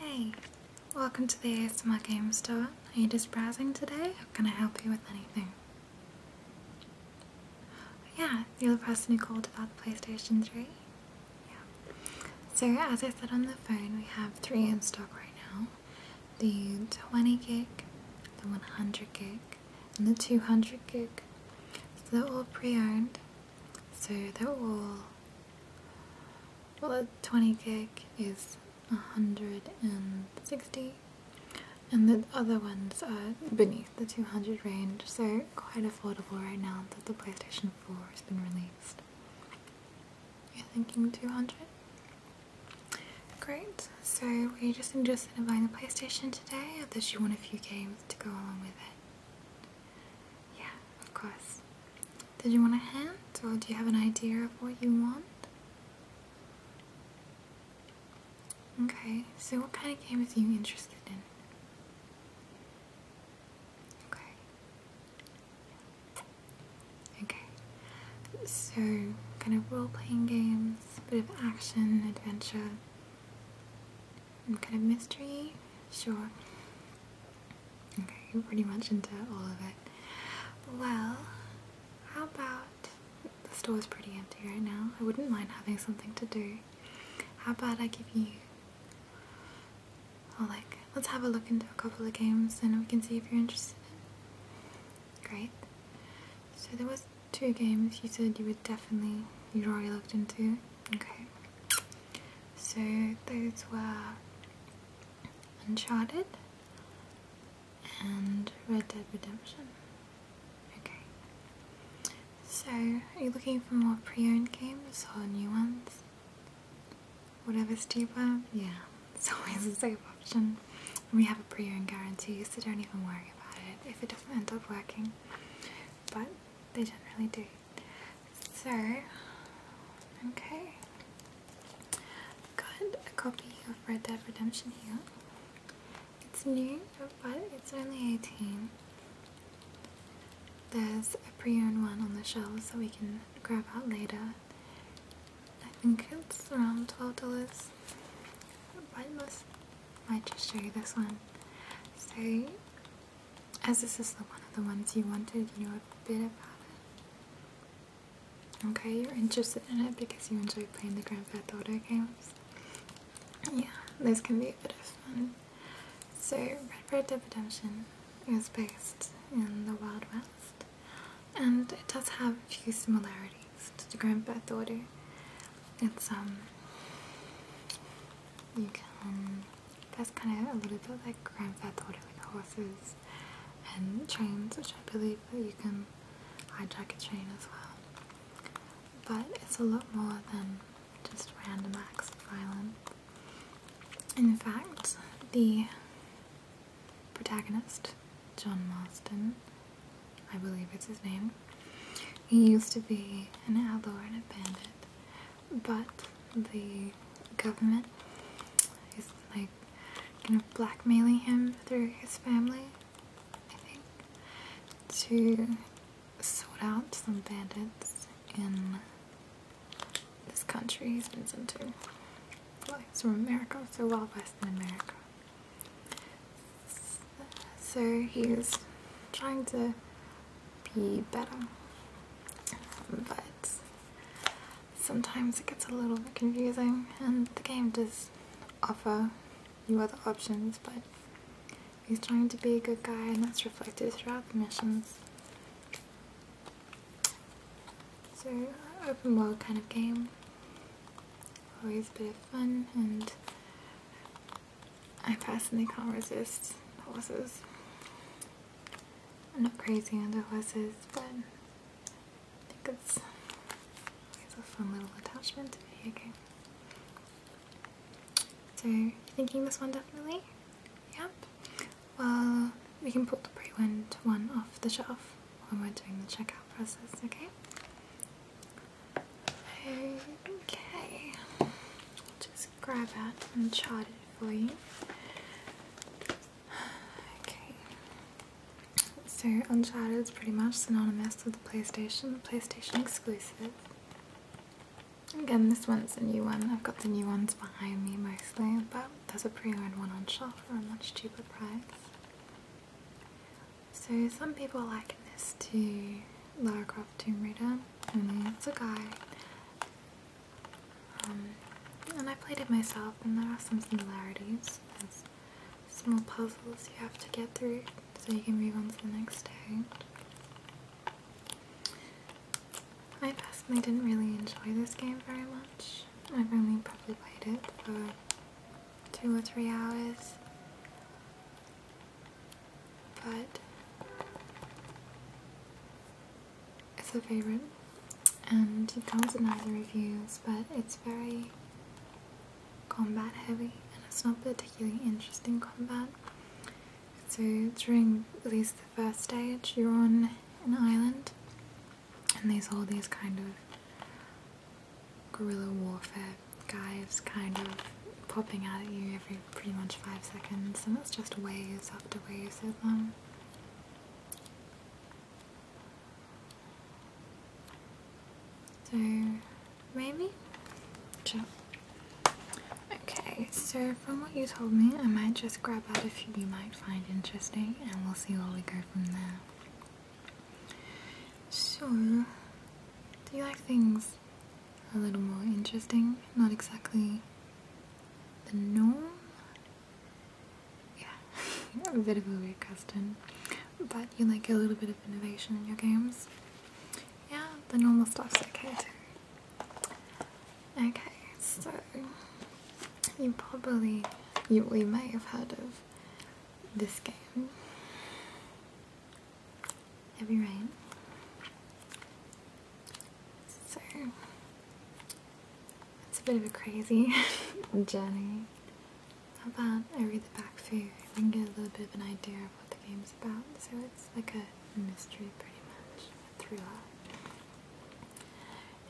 Hey, welcome to the ASMR Game Store. Are you just browsing today? How can I help you with anything? Yeah, you're the person who called about the PlayStation 3? Yeah. So as I said on the phone, we have three in stock right now. The 20 gig, the 100 gig, and the 200 gig. So they're all pre-owned. So they're all well, the 20 kick is 160 and the other ones are beneath the 200 range, so quite affordable right now that the PlayStation 4 has been released. You're thinking 200? Great, so were you just interested in buying the PlayStation today, or did you want a few games to go along with it? Yeah, of course. Did you want a hand, or do you have an idea of what you want? Okay, so what kind of game is you interested in? Okay. Okay. So, kind of role-playing games, bit of action, adventure, and kind of mystery? Sure. Okay, you're pretty much into all of it. Well, how about the store's pretty empty right now. I wouldn't mind having something to do. How about I give you or oh, like let's have a look into a couple of games and we can see if you're interested. Great. So there was two games you said you would definitely you'd already looked into. Okay. So those were Uncharted and Red Dead Redemption. Okay. So, are you looking for more pre-owned games or new ones? Whatever's cheaper? Yeah, it's always a safe option. we have a pre-owned guarantee, so don't even worry about it if it doesn't end up working. But they generally do. So, okay. Got a copy of Red Dead Redemption here. It's new, but it's only 18. There's a pre-owned one on the shelf so we can grab out later. I think it's around $12. I might just show you this one. So as this is the one of the ones you wanted, you know a bit about it. Okay, you're interested in it because you enjoy playing the Grand Theft Auto games. Yeah, this can be a bit of fun. So, Red Red Dead Redemption is based in the Wild West, and it does have a few similarities to the Grand Theft Auto. It's um, you can that's kind of a little bit like Grand Theft Auto with horses and trains, which I believe that you can hijack a train as well. But it's a lot more than just random acts of violence. In fact, the protagonist, John Marston, I believe it's his name, he used to be an outlaw and a bandit but the government is like blackmailing him through his family, I think, to sort out some bandits in this country he's been sent to. Well, he's from America, so well Western America. So he's trying to be better, but sometimes it gets a little bit confusing and the game does offer you other options but he's trying to be a good guy and that's reflected throughout the missions. So open world kind of game, always a bit of fun and I personally can't resist horses. I'm not crazy on the horses, but I think it's a fun little attachment to be okay. So you thinking this one definitely? Yep. Well, we can pull the pre went one off the shelf when we're doing the checkout process, okay? Okay. just grab that and chart it for you. Okay. So Uncharted is pretty much synonymous with the PlayStation, PlayStation exclusive. Again, this one's a new one. I've got the new ones behind me mostly, but there's a pre-owned one on shelf for a much cheaper price. So some people liken this to Lara Croft Tomb Raider, and it's a guy um, and I played it myself, and there are some similarities. small puzzles you have to get through so you can move on to the next day. I personally didn't really enjoy this game very much. I've only probably played it for two or three hours. But it's a favorite, and it comes in either the reviews, but it's very combat heavy, and it's not particularly interesting combat. So during at least the first stage, you're on an island, and there's all these kind of guerrilla warfare guys kind of popping out at you every pretty much five seconds, and it's just waves after waves of them. So maybe? Sure. Okay, so from what you told me, I might just grab out a few you might find interesting and we'll see where we go from there. So, do you like things a little more interesting? Not exactly the norm? yeah, a bit of a weird custom, but you like a little bit of innovation in your games. Yeah, the normal stuff's okay too. Okay, so you probably, you, you may have heard of this game. Heavy Rain. So it's a bit of a crazy journey. How about I read the back for you and get a little bit of an idea of what the game's about? So it's like a mystery, pretty much, a thriller.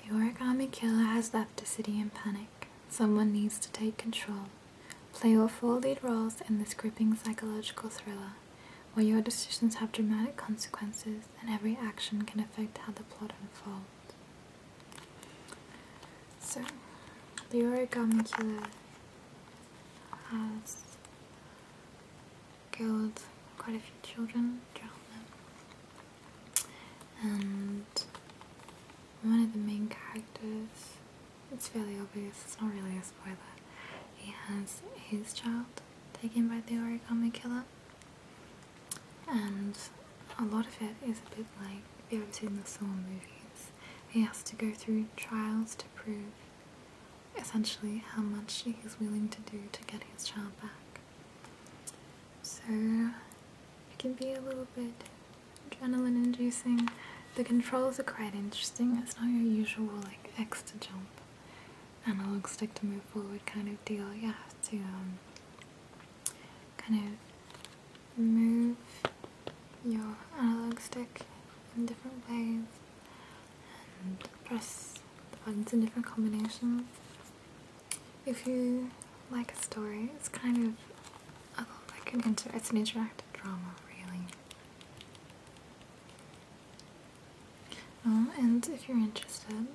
The origami killer has left the city in panic. Someone needs to take control. Play your four lead roles in this gripping psychological thriller, where your decisions have dramatic consequences and every action can affect how the plot unfolds. So, the origami killer has killed quite a few children, drowned them, and one of the main characters, it's fairly obvious, it's not really a spoiler, he has his child taken by the origami killer and a lot of it is a bit like if you ever seen the Saw movies. He has to go through trials to prove essentially how much he's willing to do to get his child back. So it can be a little bit adrenaline inducing. The controls are quite interesting. It's not your usual like X to jump analog stick to move forward kind of deal. You have to um, kind of move your analog stick in different ways and press the buttons in different combinations. If you like a story, it's kind of like an inter it's an interactive drama, really. Uh, and if you're interested,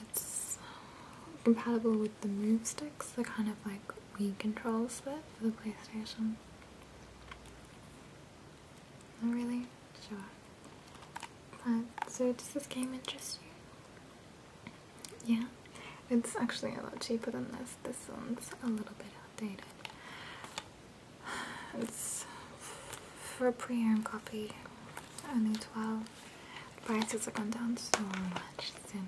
it's um, compatible with the move sticks, the kind of like Wii controls but for the PlayStation. Not really sure. But so does this game interest you? Yeah. It's actually a lot cheaper than this. This one's a little bit outdated. It's for a pre-owned copy only 12 prices have gone down so much since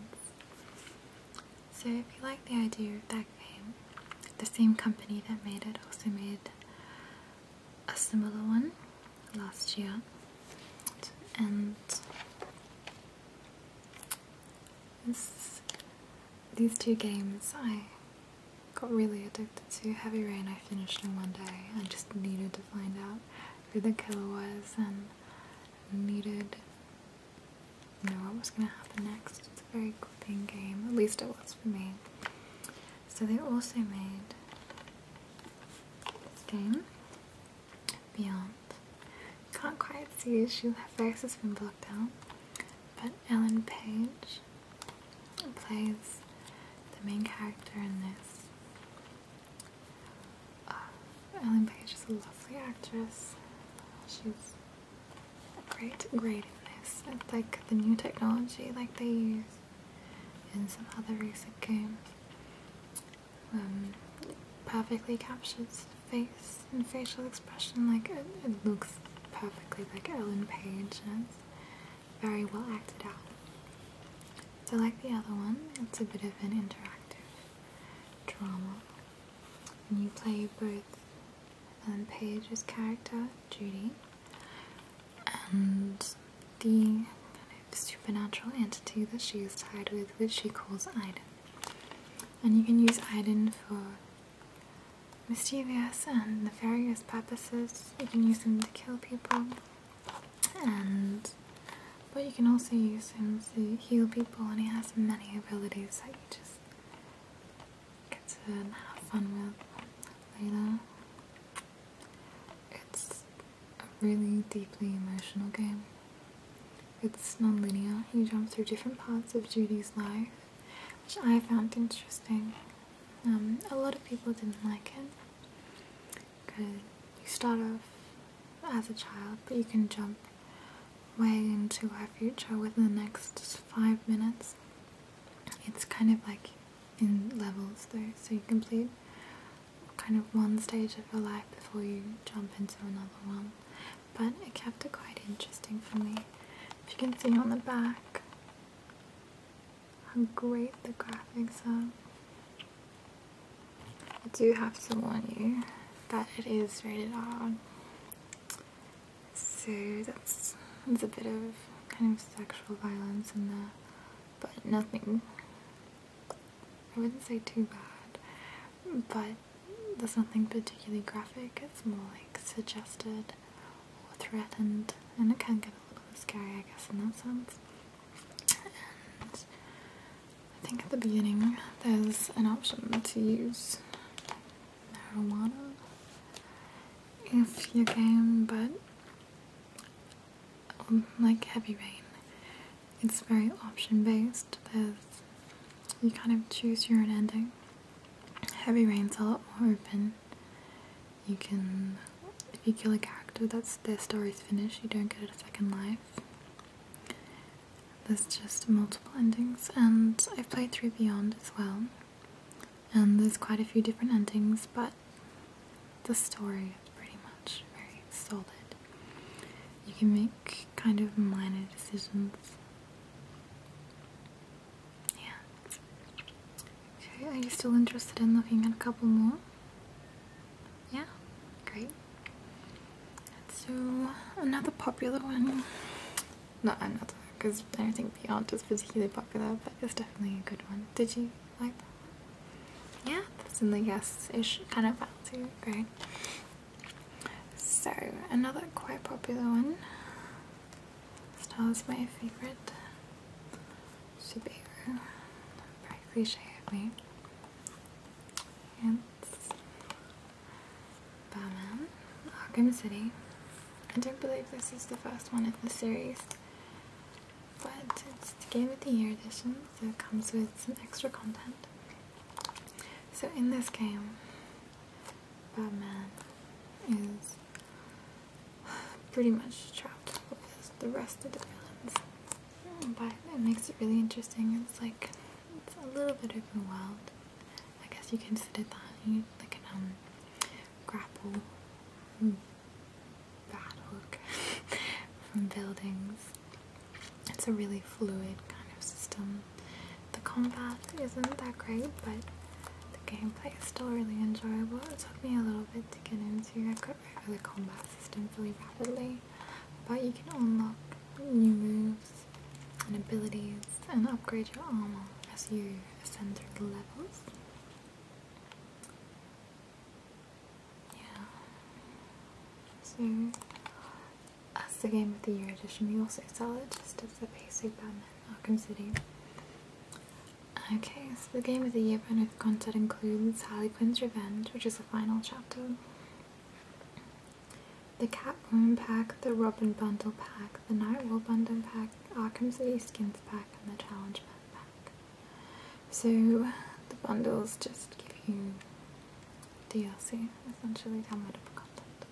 so if you like the idea of that game, the same company that made it also made a similar one last year and these two games I got really addicted to Heavy Rain. I finished in one day. I just needed to find out who the killer was and needed to know what was going to happen next. It's a very gripping game, at least it was for me. So they also made this game, Beyond. Can't quite see, she, her face has been blocked out. But Ellen Page plays the main character in this. Uh, Ellen Page is a lovely actress. She's great, great in this. It's like the new technology like they use in some other recent games. Um, perfectly captures face and facial expression. Like it, looks perfectly like Ellen Page, very well acted out. So, like the other one, it's a bit of an interactive drama. And you play both um, Page's character, Judy, and the kind of supernatural entity that she is tied with, which she calls Iden. And you can use Iden for mischievous and nefarious purposes. You can use him to kill people, and but you can also use him to heal people, and he has many abilities that you just get to have fun with later. It's a really deeply emotional game. It's non-linear. You jump through different parts of Judy's life, which I found interesting. Um, a lot of people didn't like it because you start off as a child, but you can jump way into our future within the next five minutes. It's kind of like in levels though, so you complete kind of one stage of your life before you jump into another one. But it kept it quite interesting for me. If you can see on the back, how great the graphics are. I do have to warn you that it is rated R. So that's there's a bit of kind of sexual violence in there, but nothing. I wouldn't say too bad, but there's nothing particularly graphic. It's more like suggested or threatened, and it can get a little bit scary, I guess, in that sense. I think at the beginning there's an option to use marijuana if you can, but um, like Heavy Rain, it's very option based. There's you kind of choose your own ending. Heavy Rain's a lot more open. You can, if you kill a character that's their story's finished, you don't get a second life. There's just multiple endings, and I've played through Beyond as well. And there's quite a few different endings, but the story is pretty much very solid. You can make kind of minor decisions. Yeah. Okay, are you still interested in looking at a couple more? Yeah? Great. Let's do another popular one. Not another, because I don't think the art is particularly popular, but it's definitely a good one. Did you like that? Yeah, that's in the yes-ish kind of value. Great. So, another quite popular one. Star is my favourite superhero. Practically shy of me. It's Batman, Arkham City. I don't believe this is the first one in the series, but it's the Game of the Year edition, so it comes with some extra content. So in this game, Batman is pretty much trapped with the rest of the villains. Hmm, but it makes it really interesting. It's like it's a little bit of a wild. I guess you can sit at that like an um, grapple hmm, bad from buildings. It's a really fluid kind of system. The combat isn't that great, but the gameplay is still really enjoyable. It took me a little bit to get into. it over the combat system really rapidly, but you can unlock new moves and abilities and upgrade your armor as you ascend through the levels. Yeah. So as the Game of the Year edition, we also sell it just as a basic Batman Arkham City. Okay, so the game of the year bonus content includes Harley Quinn's Revenge, which is the final chapter, the Catwoman pack, the Robin bundle pack, the Nightwall bundle pack, Arkham City skins pack, and the Challenge pack. So the bundles just give you DLC, essentially downloadable content.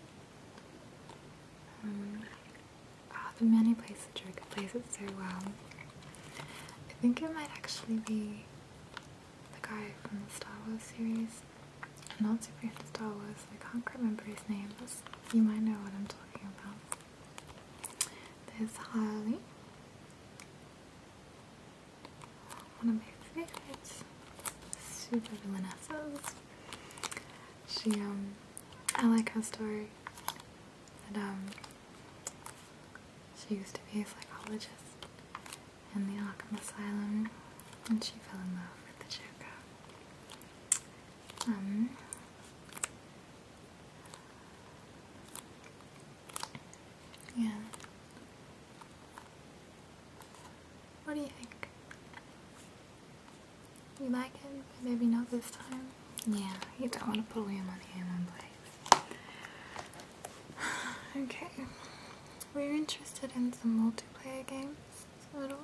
Um, oh, the many places the plays it so well. I think it might actually be the guy from the Star Wars series. I'm not super into Star Wars, I can't remember his name, but you might know what I'm talking about. There's Harley. One of my favorites. Super villainesses. She, um, I like her story. And um, she used to be a psychologist in the Arkham Asylum, and she fell in love with the Joker. Um, yeah. What do you think? You like him? maybe not this time. Yeah, you don't want to put all your money in one place. Okay. We're interested in some multiplayer games Little,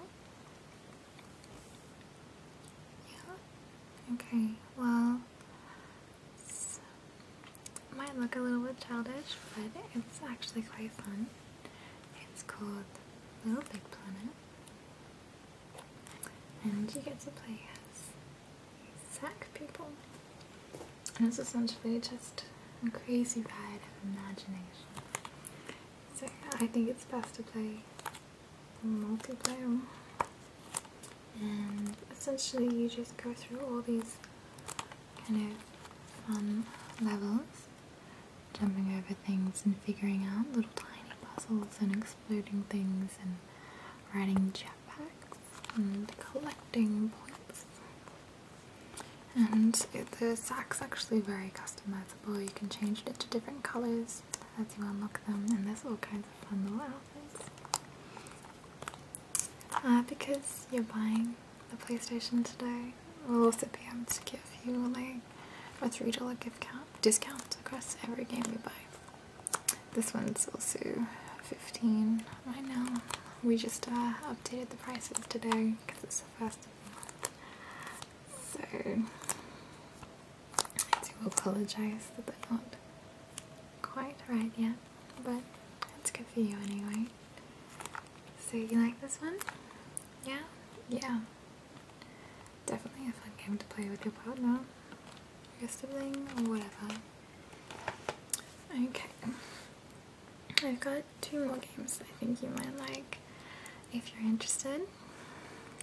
Yeah? Okay, well, it might look a little bit childish, but it's actually quite fun. It's called Little Big Planet and you get to play as sack people. And it's essentially just a crazy ride of imagination. So I think it's best to play multiplayer. And essentially you just go through all these kind of fun levels, jumping over things and figuring out little tiny puzzles and exploding things and riding jetpacks marks and collecting points. And the sack's actually very customizable. You can change it to different colors as you unlock them, and there's all kinds of fun little outfits. Uh, because you're buying the PlayStation today, we'll also be able to give you like a three dollar gift count discount across every game you buy. This one's also 15 right now. We just uh, updated the prices today because it's the first of the month. So I do apologize that they're not quite right yet, but it's good for you anyway. So you like this one? Yeah? Yeah. Definitely a fun game to play with your partner your sibling or whatever. Okay. I've got two more games I think you might like if you're interested.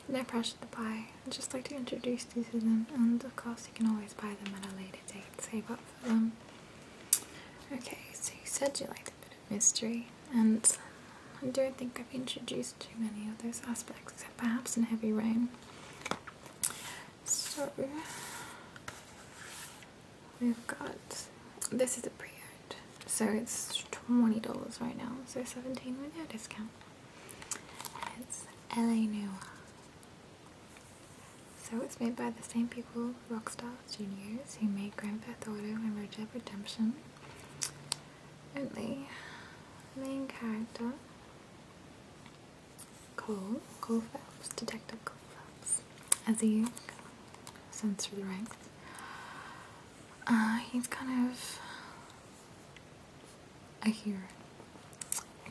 No pressure to buy. I'd just like to introduce you to them and of course you can always buy them at a later date, save up for them. Okay, so you said you liked a bit of mystery and I don't think I've introduced too many of those aspects except perhaps in Heavy Rain. So we've got this is a pre order so it's $20 right now, so 17 with no discount. It's LA Noir. So it's made by the same people, Rockstar Studios, who made Grand Theft Auto and Red Dead Redemption. Only main character Cole, Cole Phelps, Detective Cole Phelps, as he ascends through the ranks. Uh, he's kind of I hear.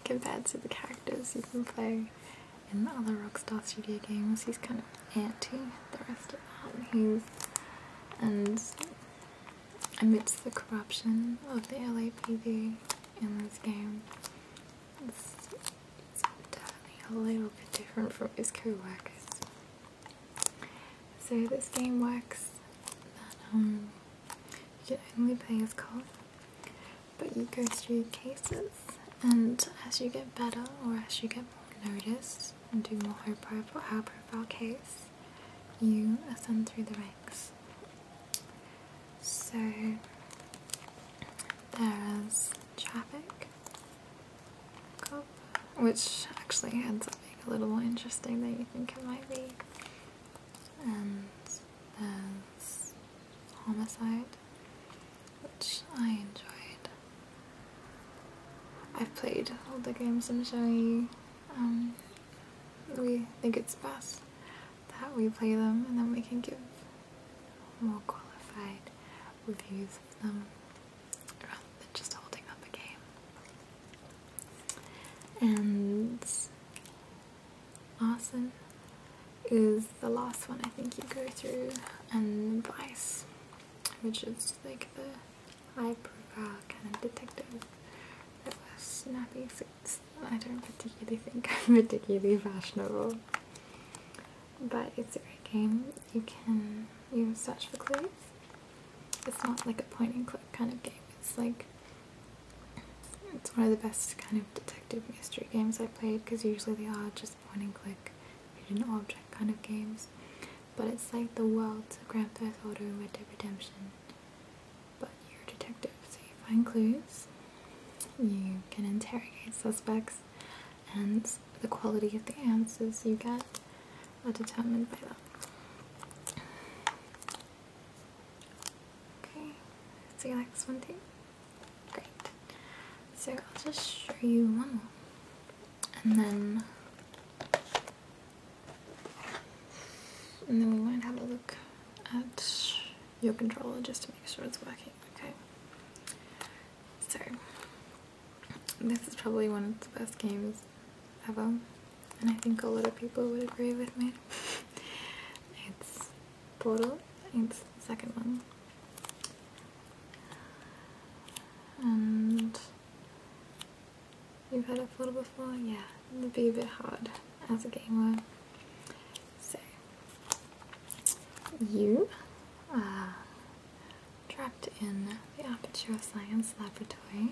compared to the characters you can play in the other Rockstar Studio games. He's kind of anti the rest of that. He's and amidst the corruption of the LAPD, in this game. It's, definitely a little bit different from his co So this game works that um, you can only play as Cole, but you go through cases and as you get better or as you get more noticed and do more high profile, high profile case, you ascend through the ranks. So there is traffic, which actually ends up being a little more interesting than you think it might be. And there's homicide, which I enjoyed. I've played all the games I'm showing you. Um, we think it's best that we play them and then we can give more qualified reviews of them rather than just holding up a game. And Arson is the last one I think you go through, and Vice, which is like the high profile kind of detective that was snappy, I don't particularly think I'm particularly fashionable. But it's a great game. You can you search for clues. It's not like a point and click kind of game. It's like it's one of the best kind of detective mystery games I played because usually they are just point and click, hidden object kind of games. But it's like the world of Grand Theft Auto Red Dead Redemption but you're a detective, so you find clues, you can interrogate suspects, and the quality of the answers you get are determined by that. Okay, so you like this one too? Great. So I'll just show you one more, and then and then we might have a look at your controller just to make sure it's working. Okay. So this is probably one of the best games ever, and I think a lot of people would agree with me. it's Portal. It's the second one. And you've had a portal before, yeah it'd be a bit hard as a gamer. So, you trapped in the Aperture Science Laboratories,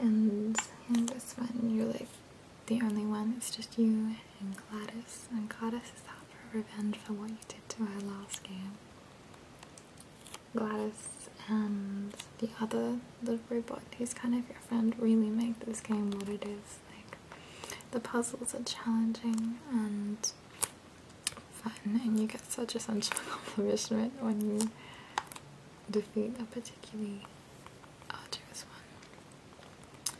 and in this one, you're like the only one. It's just you and Gladys, and Gladys is out for revenge for what you did to her last game. Gladys and the other the robot who's kind of your friend really make this game what it is. Like the puzzles are challenging and fun and you get such a sense of accomplishment when you defeat a particularly arduous one.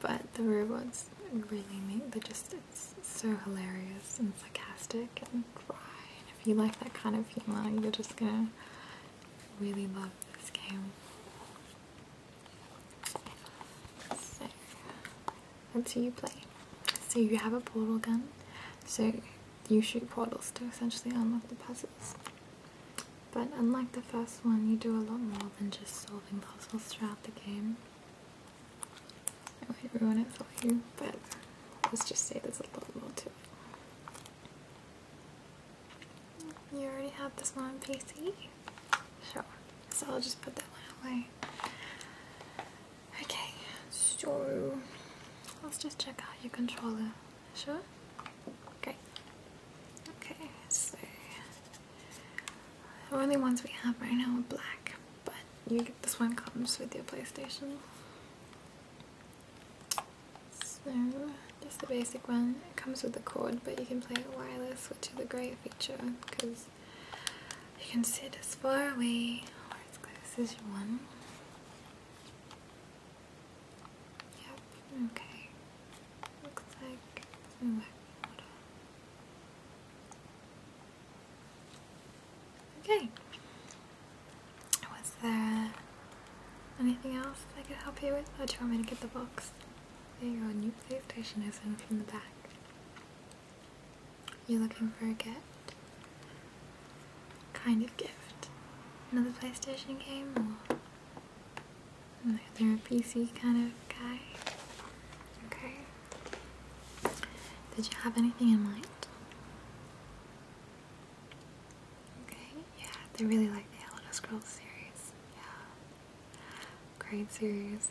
But the robots really make the just it's so hilarious and sarcastic and dry if you like that kind of humor you're just gonna really love this game. So, that's you play. So you have a portal gun, so you shoot portals to essentially unlock the puzzles. But unlike the first one, you do a lot more than just solving puzzles throughout the game. I won't ruin it for you, but let's just say there's a lot more to it. You already have this one on PC? Sure. So I'll just put that one away. Okay, so let's just check out your controller. Sure? Okay. Okay, so the only ones we have right now are black, but you this one comes with your PlayStation. So just the basic one. It comes with the cord, but you can play it wireless, which is a great feature because you can sit as far away or as close as you want. Yep, okay. Looks like Okay. Was there anything else I could help you with? Or do you want me to get the box? There you your new PlayStation is in from the back. You're looking for a gift? Kind of gift. Another PlayStation game or they're a PC kind of guy? Okay. Did you have anything in mind? Okay, yeah, they really like the Elder Scrolls series. Yeah, great series.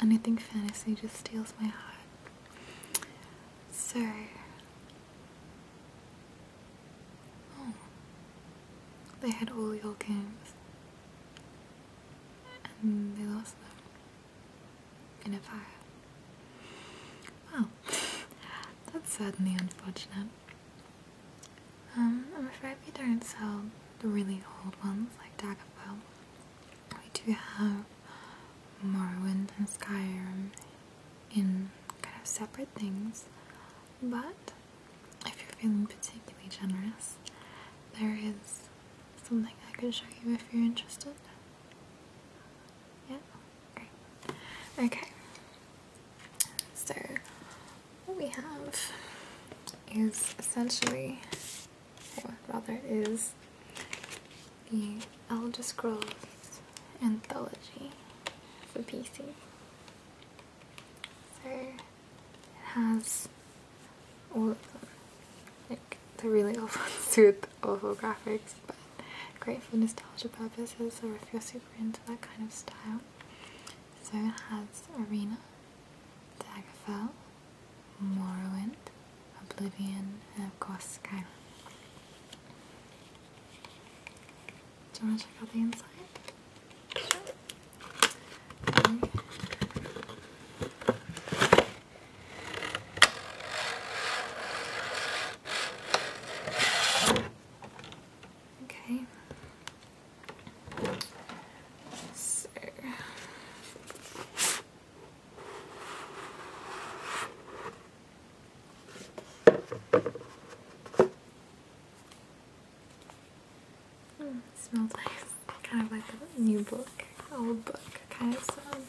And I think fantasy just steals my heart. So, oh, they had all your games, and they lost them in a fire. Wow, that's certainly unfortunate. Um, I'm afraid we don't sell the really old ones like Dagobah. We do have Morrowind and Skyrim in kind of separate things, but if you're feeling particularly generous, there is something I could show you if you're interested. Yeah? Great. Okay. So what we have is essentially, or rather is the Elder Scrolls Anthology for PC. So it has all of them. Like the really old awful suit, awful graphics, but great for nostalgia purposes or if you're super into that kind of style. So it has Arena, Daggerfell, Morrowind, Oblivion, and of course Skyrim. Do you want to check out the inside? Okay. So. Hmm, smells Kind of like a new book, old book kind of smell.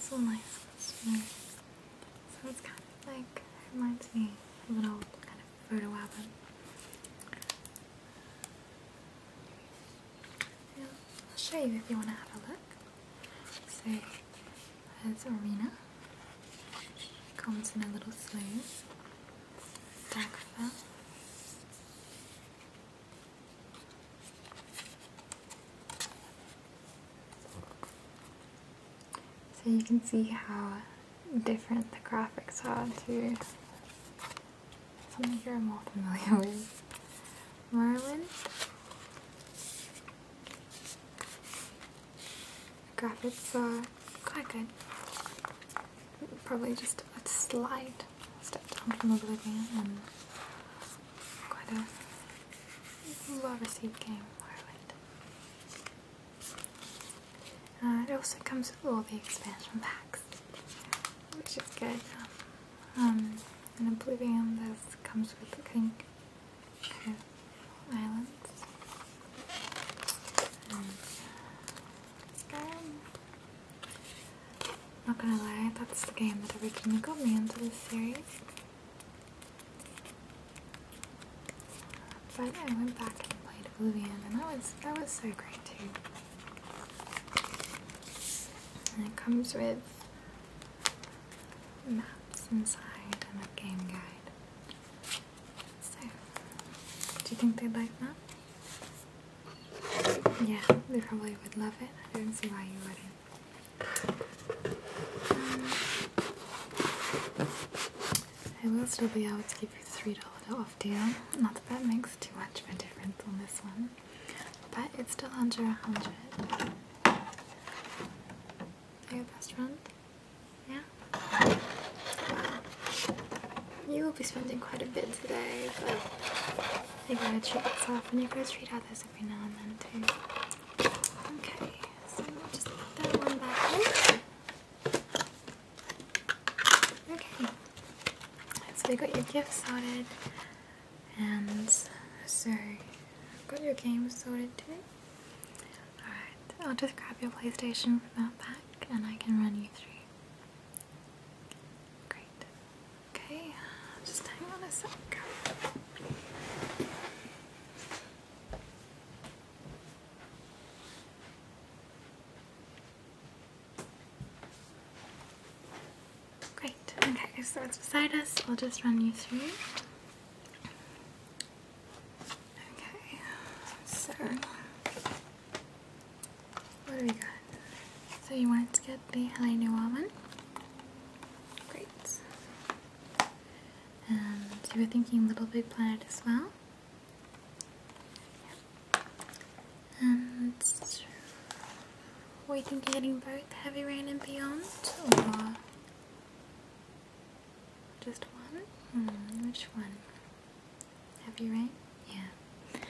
So nice and smooth. So kind of like, it reminds me of an old kind of photo album. Yeah, I'll show you if you want to have a look. So there's Arena. Comes in a little sleeve. So you can see how different the graphics are to something you're more familiar with. Merlin. The graphics are quite good. Probably just a slight step down from Oblivion and quite a well received game, Ireland. Uh, it also comes with all the expansion packs, which is good. Um, and Oblivion this comes with, the think, kind islands. Not gonna lie, that's the game that originally got me into this series. But I went back and played Oblivion, and that was that was so great too. And it comes with maps inside and a game guide. So, do you think they'd like that? Yeah, they probably would love it. I don't see why you wouldn't. Um, I will still be able to give you the $3 off deal. Not that that makes too much of a difference on this one, but it's still under 100 Are best friend? Yeah? Wow. You will be spending quite a bit today, but you're going to treat yourself and you're to treat others every now and then too. Okay, so we just put that one back in. Okay. So we got your gifts sorted and so i got your games sorted too. Alright, I'll just grab your PlayStation from that back and I can run you through. Great. Okay, just hang on a sec. Great. Okay, so it's beside us. we will just run you through. Okay, so what do we got? So you wanted to get the Helene Woman? Great. And you were thinking Little Big Planet as well? Yeah. And were you getting both Heavy Rain and Beyond? Or just one? Hmm, which one? Heavy rain? Yeah.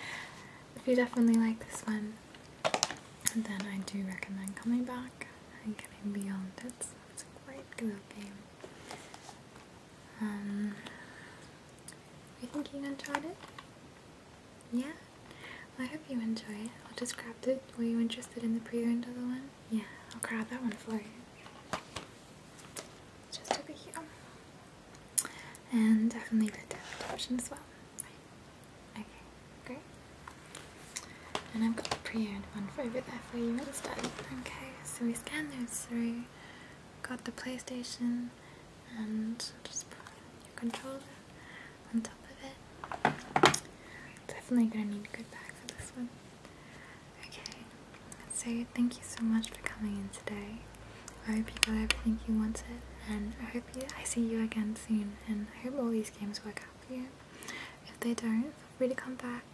If you definitely like this one, then I do recommend coming back and getting beyond it. It's a great good game. Um, you think you enjoyed it? Yeah? I hope you enjoy it. I'll just grab it. Were you interested in the preview to the one? Yeah, I'll grab that one for you. Just over here and definitely the depth option as well. Okay, great. And I've got the pre-owned one for over there for you instead. Okay, so we scan those through, got the PlayStation, and just put your controller on top of it. Definitely gonna need a good bag for this one. Okay, so thank you so much for coming in today. I hope you got everything you wanted, and I hope you, I see you again soon. And I hope all these games work out for you. If they don't, feel free to come back,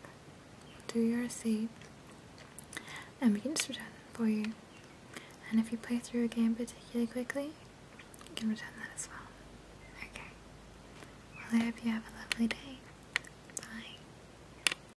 do your receipt, and we can just return them for you. And if you play through a game particularly quickly, you can return that as well. Okay. Well, I hope you have a lovely day. Bye.